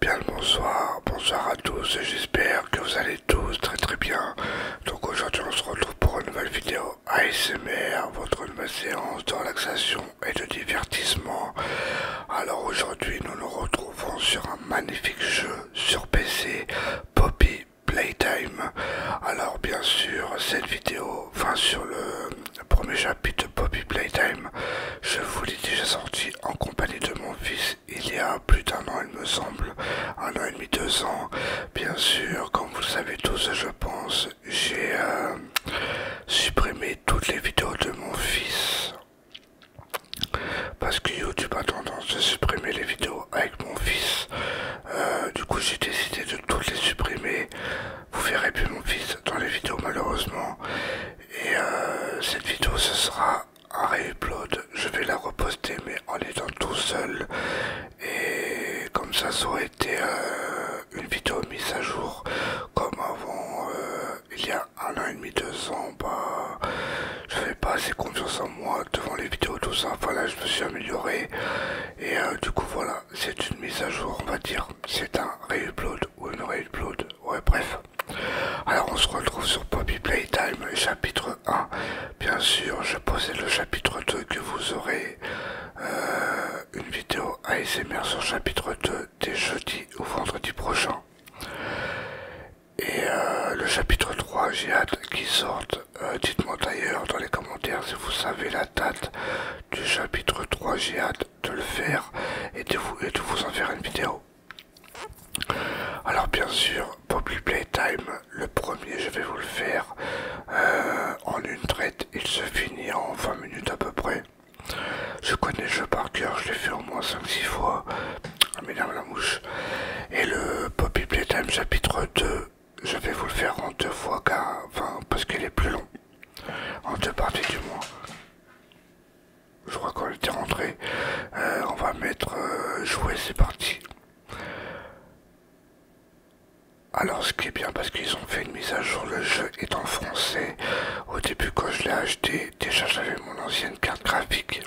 Bien le bonsoir, bonsoir à tous, j'espère que vous allez tous très très bien. Donc aujourd'hui on se retrouve pour une nouvelle vidéo ASMR, votre nouvelle séance de relaxation et de divertissement. Alors aujourd'hui nous nous retrouvons sur un magnifique jeu sur PC, Poppy Playtime. Alors bien sûr, cette vidéo, enfin sur le premier chapitre Poppy Playtime, je vous l'ai déjà sorti en compagnie de mon fils il y a plus d'un an il me semble, un an et demi, deux ans. Bien sûr, comme vous le savez tous, je pense, j'ai euh, supprimé toutes les vidéos de mon fils parce que YouTube a tendance à supprimer les vidéos avec mon fils. Euh, du coup, j'ai décidé de toutes les supprimer. Vous verrez plus mon fils dans les vidéos malheureusement. Et euh, cette vidéo, ce sera un réupload. Je vais la reposter, mais en étant tout seul. Et comme ça, ça aurait été euh, une vidéo mise à jour comme avant. Euh, il y a un an et demi, deux ans, bah, je fais pas assez confiance en moi devant les vidéos, tout ça. Voilà, je me suis amélioré. Et euh, du coup, voilà, c'est une mise à jour, on va dire. C'est un re-upload ou une re-upload. Ouais, bref. Alors, on se retrouve sur Poppy Playtime, chapitre 1. Bien sûr, je posais le chapitre 2 que vous aurez. Euh, une vidéo ASMR sur chapitre 2 dès jeudi ou vendredi prochain. Et euh, le chapitre 3, j'ai qui qu'il sorte. Euh, dites-moi d'ailleurs dans les commentaires si vous savez la date du chapitre 3, j'ai de le faire et de vous, de vous en faire une vidéo. Alors bien sûr, Poppy Playtime, le premier je vais vous le faire euh, en une traite, il se finit en 20 minutes à peu près. Je connais le jeu par cœur, je l'ai fait au moins 5-6 fois a la mouche. Et le Poppy Playtime chapitre 2, je vais vous le faire en deux fois, car, enfin, parce qu'il est plus long. En deux parties du moins. Je crois qu'on était rentré. Euh, on va mettre euh, jouer, c'est parti. Alors ce qui est bien parce qu'ils ont fait une mise à jour, le jeu est en français. Au début quand je l'ai acheté, déjà j'avais mon ancienne carte graphique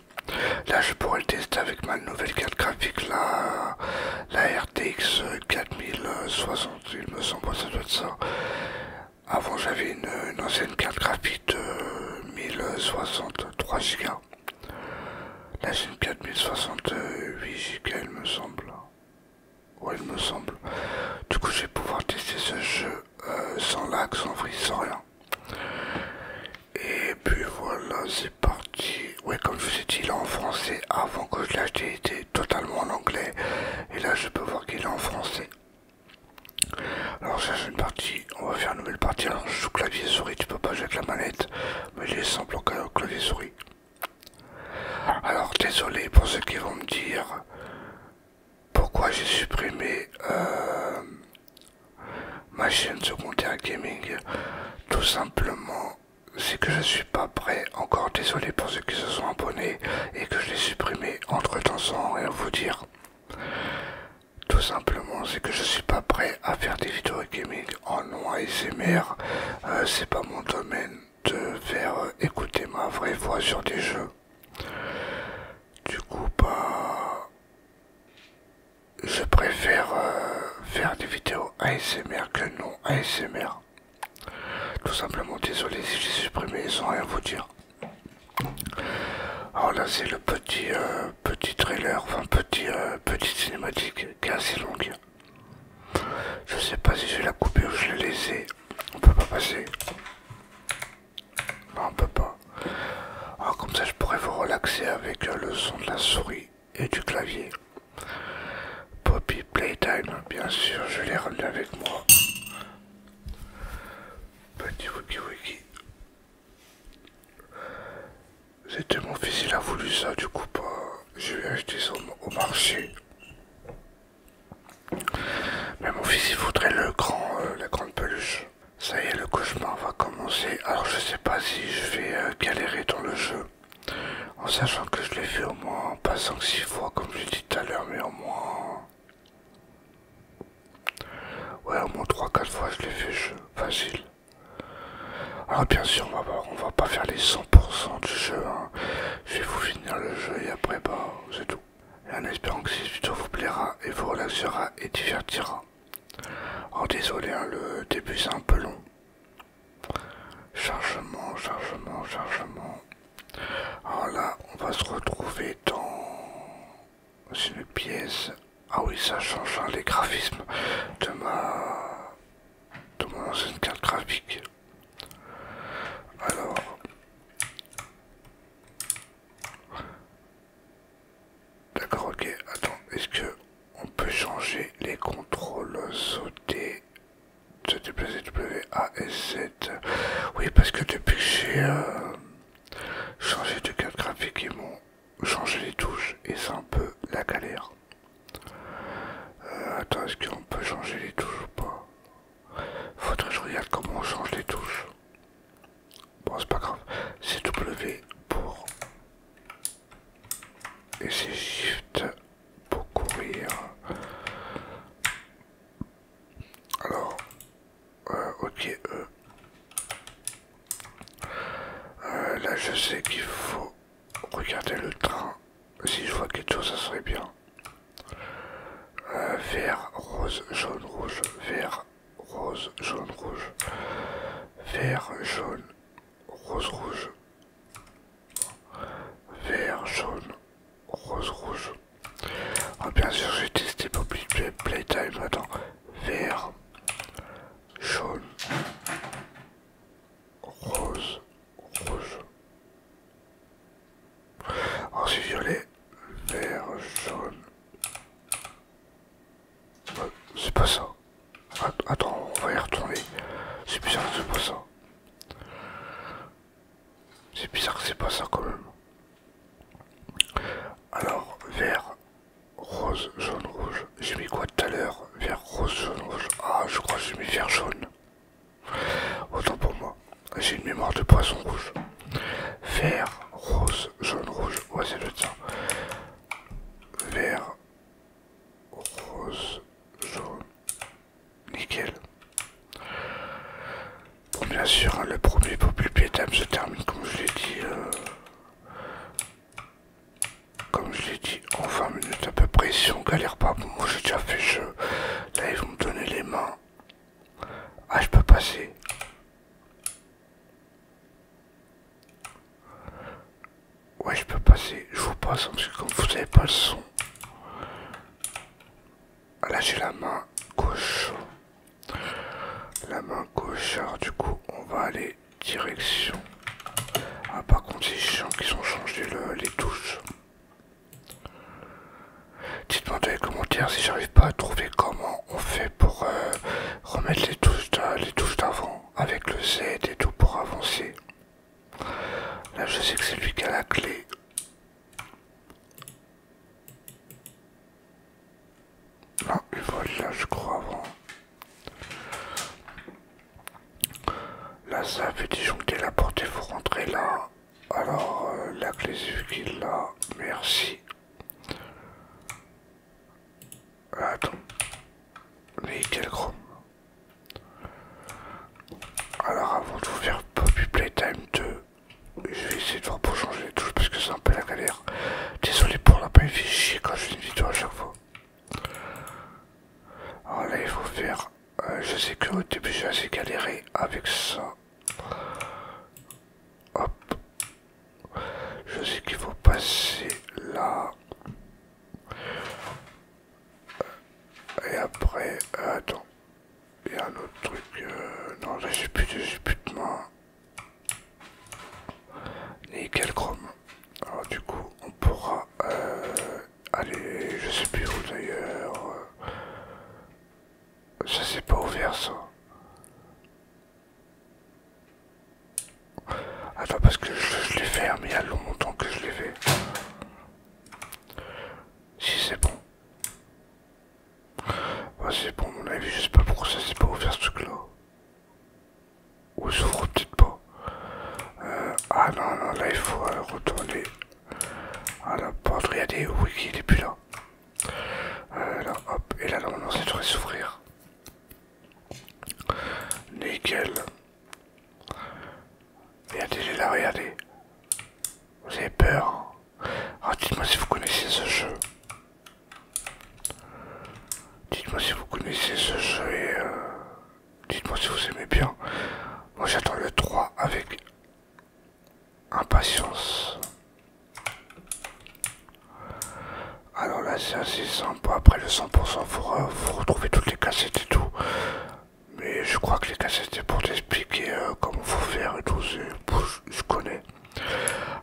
Là, je pourrais le tester avec ma nouvelle carte graphique, la, la RTX 4060, il me semble, ça doit être ça. Avant, j'avais une, ancienne carte graphique de 1063 Go. Là, j'ai une 4068 Go, il me semble. Ouais, il me semble. Du coup, je vais pouvoir tester ce jeu euh, sans lac, sans frise, sans rien. Et puis voilà, c'est parti. Ouais, comme je vous ai dit, est en français, avant que je l'achète, il était totalement en anglais. Et là, je peux voir qu'il est en français. Alors, ça, c'est une partie. On va faire une nouvelle partie. Alors, je joue clavier-souris, tu peux pas jouer avec la manette. Mais il est simple au clavier-souris. Alors, désolé pour ceux qui vont me dire pourquoi j'ai supprimé euh, ma chaîne secondaire gaming tout simplement c'est que je ne suis pas prêt encore désolé pour ceux qui se sont abonnés et que je l'ai supprimé entre temps sans rien vous dire tout simplement c'est que je ne suis pas prêt à faire des vidéos gaming en noir et Ce euh, c'est pas mon domaine de faire euh, écouter ma vraie voix sur des jeux du coup, bah, je préfère euh, faire des vidéos ASMR que non ASMR. Tout simplement, désolé si j'ai supprimé sans rien vous dire. Alors là, c'est le petit euh, petit trailer, enfin petit euh, petite cinématique qui est assez longue. Je ne sais pas si je la coupé ou je l'ai laissée. On peut pas passer. Non, on peut pas. Ah, comme ça, je pourrais vous relaxer avec euh, le son de la souris et du clavier. Poppy Playtime, bien sûr, je l'ai ramené avec moi. Petit wiki wiki. C'était mon fils, il a voulu ça, du coup, pas. je lui ai acheté ça au, marché. Mais mon fils, il voudrait le grand, euh, la grande peluche. Ça y est, le cauchemar va commencer. Alors je sais pas si je vais euh, galérer dans le jeu. En sachant que je l'ai fait au moins pas 5-6 fois comme je dit tout à l'heure, mais au moins... Ouais, au moins 3-4 fois je l'ai fait Facile. Alors bien sûr, on va, pas, on va pas faire les 100% du jeu. Hein. Je vais vous finir le jeu et après, bah, c'est tout en espérant que cette vidéo vous plaira et vous relaxera et divertira. En désolé, hein, le début c'est un peu long. Chargement, chargement, chargement. Alors là, on va se retrouver dans une pièce. Ah oui, ça change hein, les graphismes de ma de mon ancienne carte graphique. Alors, D'accord, ok. Attends, est-ce que on peut changer les contrôles sauter de déplacer A S 7 Oui, parce que depuis que j'ai euh, changé de carte graphique, ils m'ont changé les touches et c'est un peu la galère. Euh, attends, est-ce qu'on peut changer les touches ou pas faut que je regarde comment on change les touches. Bon, c'est pas grave. C'est W pour. Et c'est Shift pour courir. Alors, euh, ok, euh. Euh, là, je sais qu'il faut regarder le train. Si je vois quelque chose, ça serait bien. Euh, vert, rose, jaune, rouge, vert, rose, jaune, rouge, vert, jaune, rose, rouge, vert, jaune, rose, rouge. Ah bien sûr, j'ai testé pour Playtime. Attends, vert, jaune, rose, rouge c'est violet, vert, jaune. C'est pas ça. Attends, on va y retourner. C'est bizarre que c'est pas ça. C'est bizarre que c'est pas ça quand même. Alors, vert, rose, jaune, rouge. J'ai mis quoi tout à l'heure Vert, rose, jaune, rouge. Ah, je crois que j'ai mis vert, jaune. Autant pour moi j'ai ah, une mémoire de poisson rouge. Vert, rose, jaune, rouge. Ouais, c'est le temps. Vert, rose, jaune. Nickel. bien sûr, hein, le premier populpétame se termine, comme je l'ai dit. Euh, comme je l'ai dit, en 20 minutes à peu près. Si on galère pas, bon, moi j'ai déjà fait jeu. Là, ils vont me donner les mains. Ah, je peux passer. Ouais, je peux passer. Je vous passe parce que comme vous n'avez pas le son. Ah, là, j'ai la main gauche. La main gauche. Alors, du coup, on va aller direction. Ah, par contre, c'est chiant qu'ils ont changé les touches. Dites-moi dans les commentaires si j'arrive pas à trouver comment on fait pour euh, remettre les touches d'avant avec le Z et tout pour avancer. Là je sais que c'est lui qui a la clé. Non, il vole là je crois avant. Là ça fait disjoncter la porte et vous rentrez là. Alors, euh, la clé qu'il là, merci. Attends. quel chrome. Alors, avant de vous faire Poppy Playtime 2, je vais essayer de voir pour changer les touches parce que c'est un peu la galère. Désolé pour la paille chier quand je fais une vidéo à chaque fois. Alors là, il faut faire. Euh, je sais que au début, j'ai assez galéré avec ça. Hop. Je sais qu'il faut passer là. Et après, attends. Il y a un autre truc. Euh, non, là j'ai plus, plus de main. Nickel chrome. Alors du coup, on pourra euh, aller, je sais plus où d'ailleurs. Ça s'est pas ouvert ça. Attends parce que je, l'ai fait, hein, mais il y a longtemps que je l'ai fait. Si c'est bon. Bah, c'est bon, mon avis, je sais pas pourquoi ça s'est pas ouvert ce truc-là. Ou s'ouvre peut-être pas. Euh, ah non, non, là il faut euh, retourner ah la pour il est plus là. Euh, là, hop, et là, non, c'est devrait s'ouvrir. Nickel. Regardez, il là, regardez. Vous avez peur. Hein. Ah, dites-moi si vous connaissez ce jeu. Dites-moi si vous connaissez ce jeu et euh, dites-moi si vous aimez bien. Moi j'attends le 3 avec Impatience. Alors là, c'est assez sympa. Après le 100%, vous, retrouvez toutes les cassettes et tout. Mais je crois que les cassettes, c'est pour t'expliquer euh, comment faut faire et tout. Je, connais.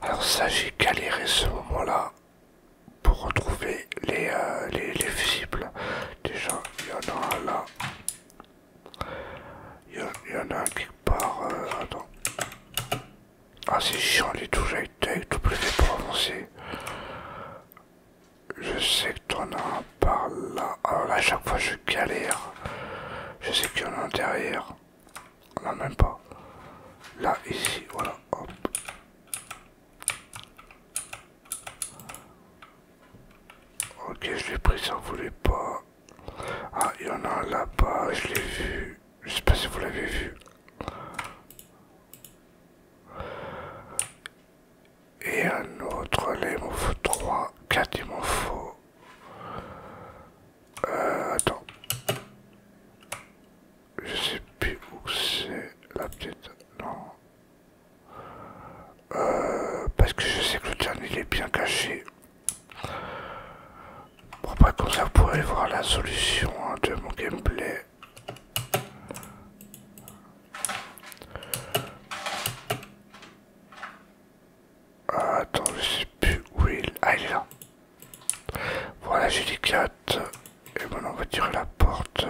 Alors ça, j'ai galéré ce moment-là pour retrouver les, euh, les, les visibles. Déjà, il y en a un là. Il y, en a un quelque part. Euh, attends. Ah, c'est chiant les touches avec tout plus pour avancer. Je sais que t'en as un par là. Alors là, à chaque fois, je galère. Je sais qu'il y en a un derrière. a même pas. Là, ici, voilà, hop. Ok, je l'ai pris, ça voulait pas. Ah, il y en a là-bas, je l'ai vu. Je sais pas si vous l'avez vu. Et un autre, là il m'en faut 3, 4 il m'en faut. Euh, attends. Je sais plus où c'est. la peut Non. Euh, parce que je sais que le dernier il est bien caché. Bon, pas comme ça, vous voir la solution hein, de mon gameplay. Ah, attends, je sais plus où il est. Ah, il est là. Voilà, j'ai 4. Et maintenant, on va tirer la porte.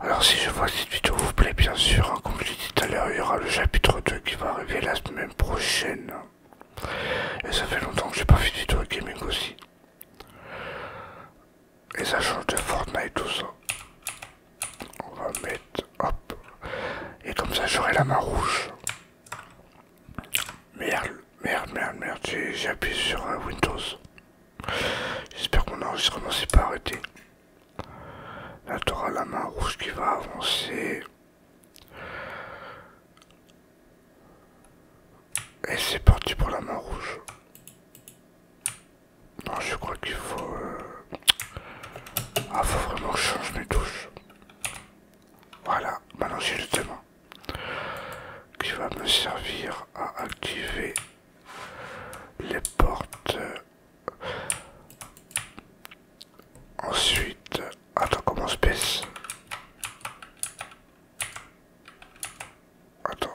Alors si je vois que cette vidéo vous plaît, bien sûr, hein, comme je l'ai dit tout à l'heure, il y aura le chapitre 2 qui va arriver la semaine prochaine. Et ça fait longtemps que j'ai pas fait de vidéo gaming aussi. Et ça change de Fortnite tout ça. On va mettre... Hop. Et comme ça j'aurai la main rouge. Merde, merde, merde, merde. J'ai appuyé sur Windows. J'espère que mon enregistrement s'est pas arrêté. Là, tu auras la main rouge qui va avancer. Et c'est parti pour la main rouge. Non, je crois qu'il faut... Euh, ah, faut vraiment que je change mes touches. Voilà, maintenant j'ai le témoin qui va me servir à activer les portes Ensuite, attends comment on se baisse Attends,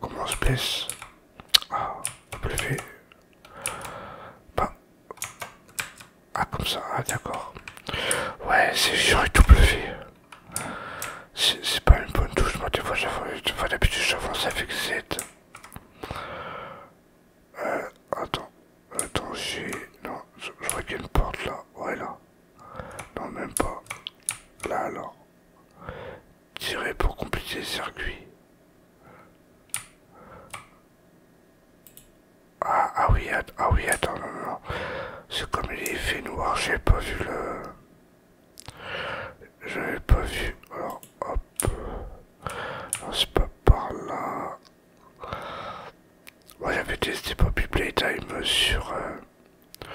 comment ah, on se baisse Ah, Ah comme ça, ah d'accord. Ouais, c'est chiant et tout C'est pas une bonne touche, moi des fois j'avance, d'habitude j'avance avec Z. Euh, attends, attends, j'ai. Non, je, vois qu'il y a une porte là. Ouais, là. Non, même pas. Là, alors, Tirer pour compléter le circuit. Ah, ah oui, ah oui, attends, non. C'est comme il est fait noir, j'ai pas vu le. J'avais pas vu. Alors hop. C'est pas par là. Moi j'avais testé Poppy Playtime sur euh,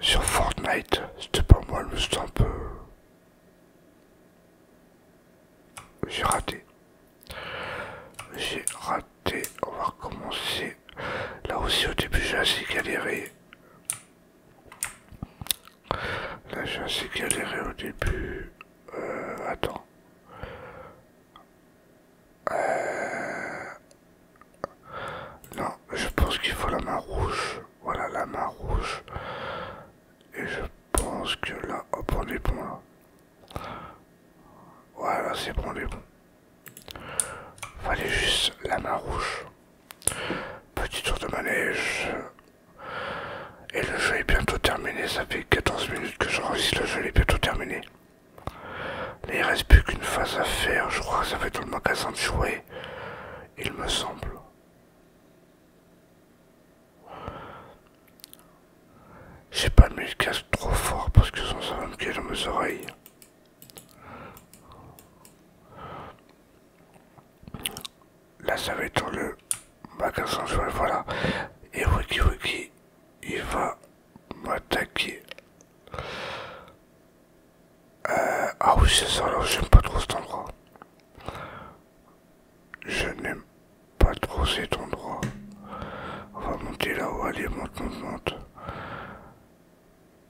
sur Fortnite. C'était pas moi, le c'était un peu. J'ai raté. J'ai raté. On va recommencer. Là aussi au début j'ai assez galéré. Là j'ai assez galéré au début. Euh, attends. Euh... Non, je pense qu'il faut la main rouge. Voilà la main rouge. Et je pense que là, hop, on est bon là. Voilà, c'est bon, les est bon. Fallait juste la main rouge. Petit tour de manège. Et le jeu est bientôt terminé. Ça fait 14 minutes que j'enregistre. Le jeu est bientôt terminé. Il il reste plus qu'une phase à faire. Je crois que ça va être le magasin de jouets. Il me semble. J'ai pas mis le casque trop fort parce que ça va me caler dans mes oreilles. Là, ça va être dans le magasin voilà. Et Wiki Wiki, il va m'attaquer. Euh, ah oui, c'est ça, alors j'aime pas trop cet endroit. Je n'aime pas trop cet endroit. On va monter là-haut, allez, monte, monte, monte.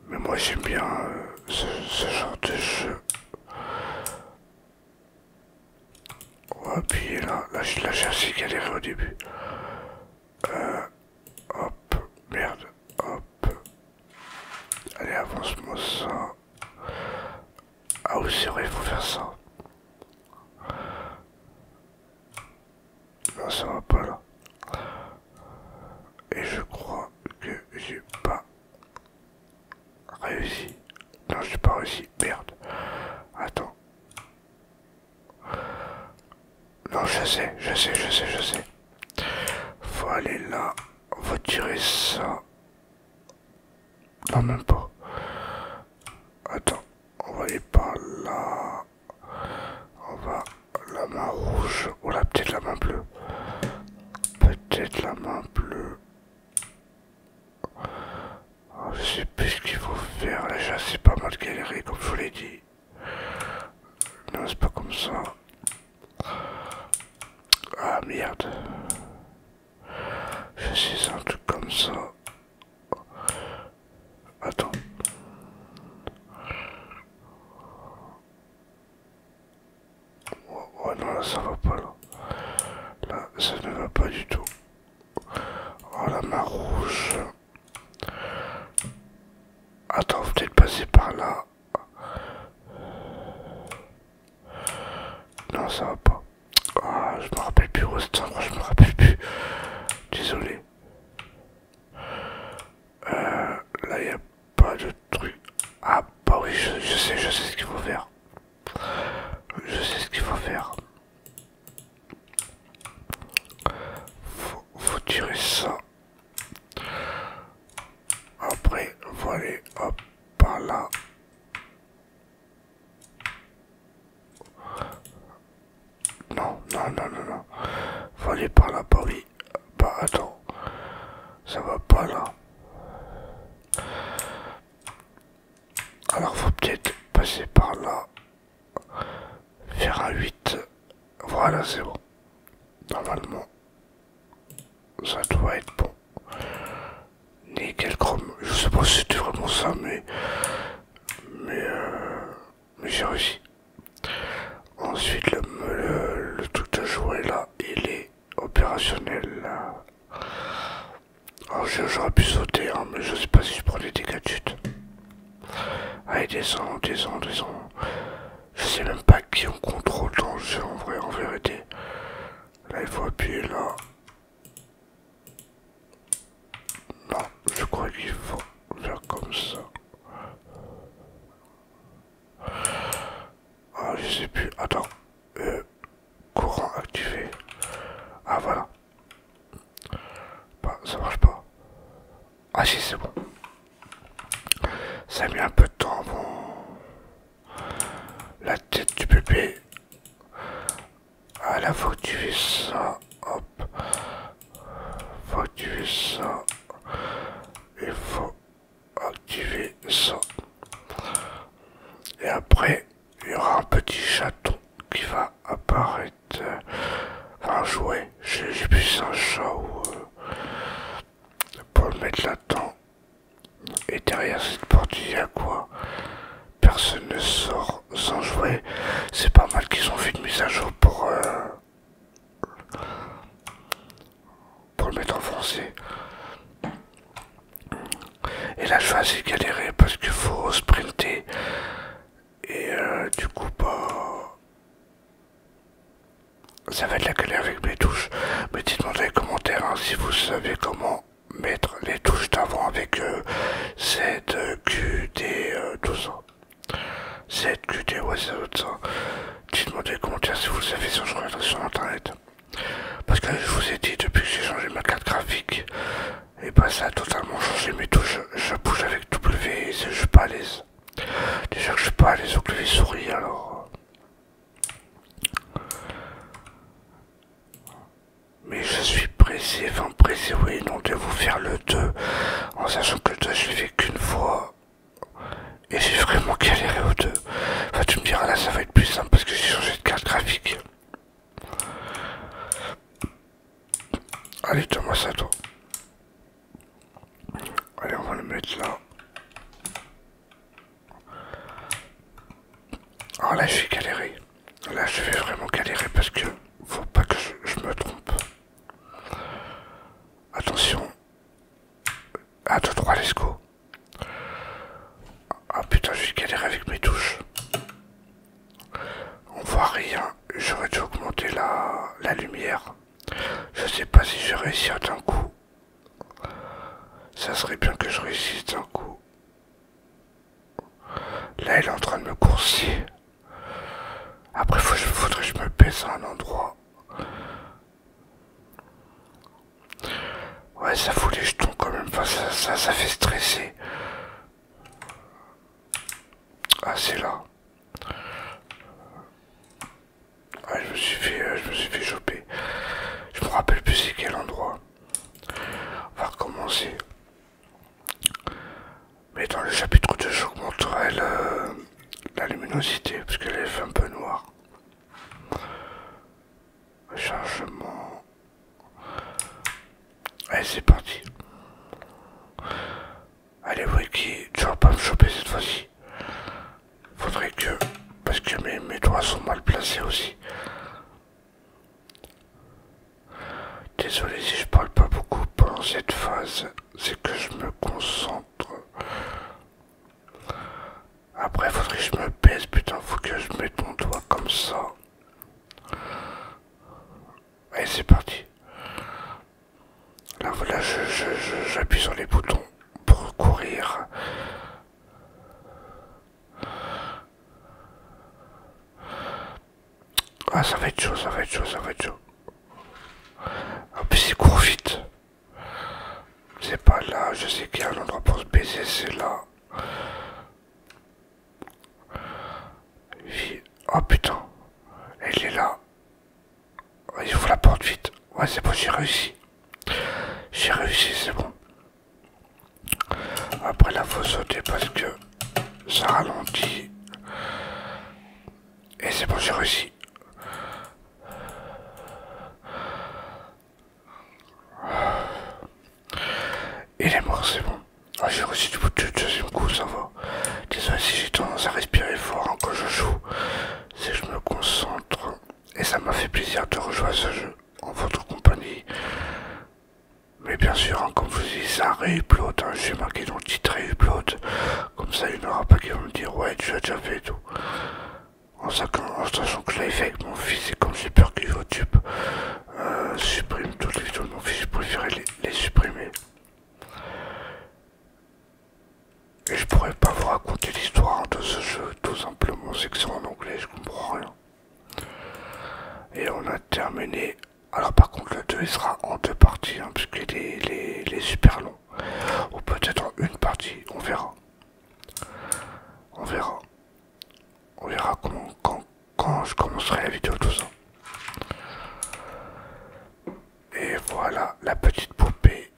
Mais moi j'aime bien euh, ce, genre de jeu. On va appuyer là, là, je j'ai assez galéré au début. Euh, hop, merde, hop. Allez, avance-moi ça. Ah oui, c'est vrai, il faut faire ça. Non, ça va pas là. Et je crois que j'ai pas réussi. Non, j'ai pas réussi. Merde. Attends. Non, je sais, je sais, je sais, je sais. Faut aller là. on va tirer ça. Non, même pas. Attends, on va aller par là. On va la main rouge ou la petite la main bleue Peut-être la main bleue. Ah, je sais plus ce qu'il faut faire. Déjà, c'est pas mal galéré, comme je vous l'ai dit. Non, c'est pas comme ça. Ah merde. Je sais un truc comme ça. Attends. Oh, non, là ça va pas là. Là, ça ne va pas du tout. Oh la main rouge. Attends, peut-être passer par là. Non, ça va pas. Ah, je me rappelle plus, Rostin, je me rappelle plus. Désolé. Euh, là, il a pas de truc. Ah, bah oui, je, sais, je sais ce qu'il faut faire. Je sais ce qu'il faut faire. Faut, faut tirer ça. Après, voilà hop, par là. Non, non, non, non, non. voilà par là, bah oui. Bah attends, ça va pas là. Alors faut peut-être passer par là. Faire un 8. Voilà, c'est bon. Normalement, ça doit être bon. Nickel chrome. Je sais pas si c'était vraiment ça, mais... Mais... Euh, mais j'ai réussi. Ensuite, le, tout à jouer là, il est opérationnel. j'aurais pu sauter, hein, mais je sais pas si je prends des dégâts de chute. Allez, descend, descend, descend. Je sais même pas qui on contrôle dans en vrai, en vérité. Là, il faut appuyer là. Non, je crois qu'il faut faire comme ça. Ah, je sais plus. Attends. Euh, courant activé. Ah, voilà. Bah, ça marche pas. Ah, si, c'est bon. Ça a mis un peu de temps. Bon. La tête du bébé. Ah, à la faut tu ça. Hop. Faut tu vis ça il faut activer ça. Et après, il y aura un petit chaton qui va apparaître. un jouet. J'ai plus un chat ou. Euh, pour le mettre là-dedans. Et derrière cette porte, il y a quoi Personne ne sort sans jouer. C'est pas mal qu'ils ont fait une mise à jour pour. Euh, pour le mettre en français. Et là, je suis assez parce qu'il faut sprinter. Et euh, du coup, pas bah, ça va être la galère avec mes touches. Mais dites-moi dans les commentaires hein, si vous savez comment mettre les touches d'avant avec euh, cette euh, Q, tout ça. C'est QT, WhatsApp. Dites-moi commentaires si vous avez savez, sur internet. Parce que je vous ai dit, depuis que j'ai changé ma carte graphique, et eh bah ben, ça a totalement changé mes touches. Je, bouge avec W et je suis pas à l'aise. Déjà que je suis pas à l'aise au souris, alors. Euh. Mais je suis pressé, enfin pressé, oui, non, de vous faire le 2, en sachant que le 2, je l'ai fait qu'une fois. Et j'ai vraiment galéré aux deux. Enfin, bah, tu me diras là, ça va être plus simple parce que j'ai changé de carte graphique. Allez, donne-moi ça toi. Allez, on va le mettre là. Alors ah, là, je vais galérer. Là, je vais vraiment galérer parce que faut pas que je me trompe. Attention. 1, 2, 3, let's go. Ah putain, je vais galérer avec mes touches. On voit rien. J'aurais dû augmenter la, lumière. Je sais pas si je vais réussir d'un coup. Ça serait bien que je réussisse d'un coup. Là, il est en train de me coursier. Après, faut, faudrait que je me pèse à un endroit. Ouais, ça fout les jetons quand même. ça, fait stresser. Ah, c'est là. Ouais, ah, je suis euh, je me suis fait choper. Je me rappelle plus c'est quel endroit. On va recommencer. Mais dans le chapitre 2, j'augmenterai euh, la luminosité, parce qu'elle est un peu noire. Chargement. Allez, c'est parti. Allez, Wiki, tu vas pas me choper cette fois-ci. Faudrait que... Parce que mes, mes doigts sont mal placés aussi. Désolé si je parle pas beaucoup pendant cette phase c'est que je me concentre. Après, faudrait que je me pèse, putain, faut que je mette mon doigt comme ça. Allez, c'est parti. Là, voilà, j'appuie je, sur les boutons pour courir. Ah, ça va être chaud, ça va être chaud, ça va être chaud. ah il court vite. C'est pas là, je sais qu'il y a un endroit pour se baiser, c'est là. Oh putain, elle est là. Il faut la porte vite. Ouais, c'est bon, j'ai réussi. J'ai réussi, c'est bon. Après là, faut sauter parce que ça ralentit. Et c'est bon, j'ai réussi. Il est mort, c'est bon. Ah, j'ai réussi du bout du deuxième coup, ça va. Désolé si j'ai tendance à respirer fort hein, quand je joue. Si je me concentre. Et ça m'a fait plaisir de rejoindre ce jeu en votre compagnie. Mais bien sûr, hein, comme vous dis, ça réupload. je hein, j'ai marqué dans le titre comme ça, il n'y aura pas qui vont me dire ouais, tu l'as déjà fait et tout. En, sachant que je l'avais fait avec mon fils et comme j'ai peur que YouTube euh, supprime toutes les vidéos de mon fils, je préférais les, les supprimer. Et je pourrais pas vous raconter l'histoire de ce jeu, tout simplement, c'est que c'est en anglais, je comprends rien. Et on a terminé alors par contre le 2 il sera en deux parties, hein, puisqu'il est, super long. Ou peut-être en une partie, on verra. On verra. On verra quand, quand je commencerai la vidéo, tout ça. Et voilà la petite poupée.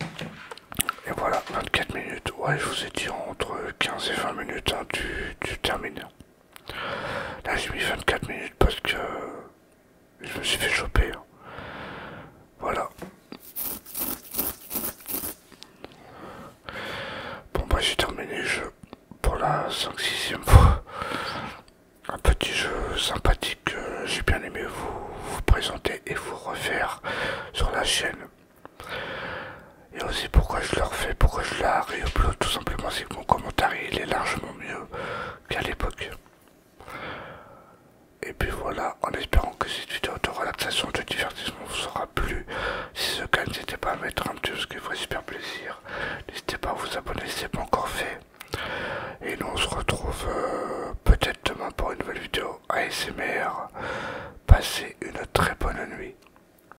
Et voilà, 24 minutes. Ouais, je vous ai dit entre 15 et 20 minutes hein, du, terminé Là j'ai mis 24 minutes parce que je me suis fait choper. Hein. Voilà. Bon bah j'ai terminé le jeu pour la 5-6ème fois. Un petit jeu sympathique que j'ai bien aimé vous, vous présenter et vous refaire sur la chaîne. Et aussi pourquoi je le refais, pourquoi je la réupload tout simplement, c'est que mon commentaire il est largement mieux qu'à l'époque. Et puis voilà, en espérant que cette vidéo de relaxation, de divertissement vous aura plu. Si ce cas, n'hésitez pas à mettre un petit ce qui ferait super plaisir. N'hésitez pas à vous abonner si ce n'est pas encore fait. Et nous on se retrouve euh, peut-être demain pour une nouvelle vidéo ASMR. Passez une très bonne nuit.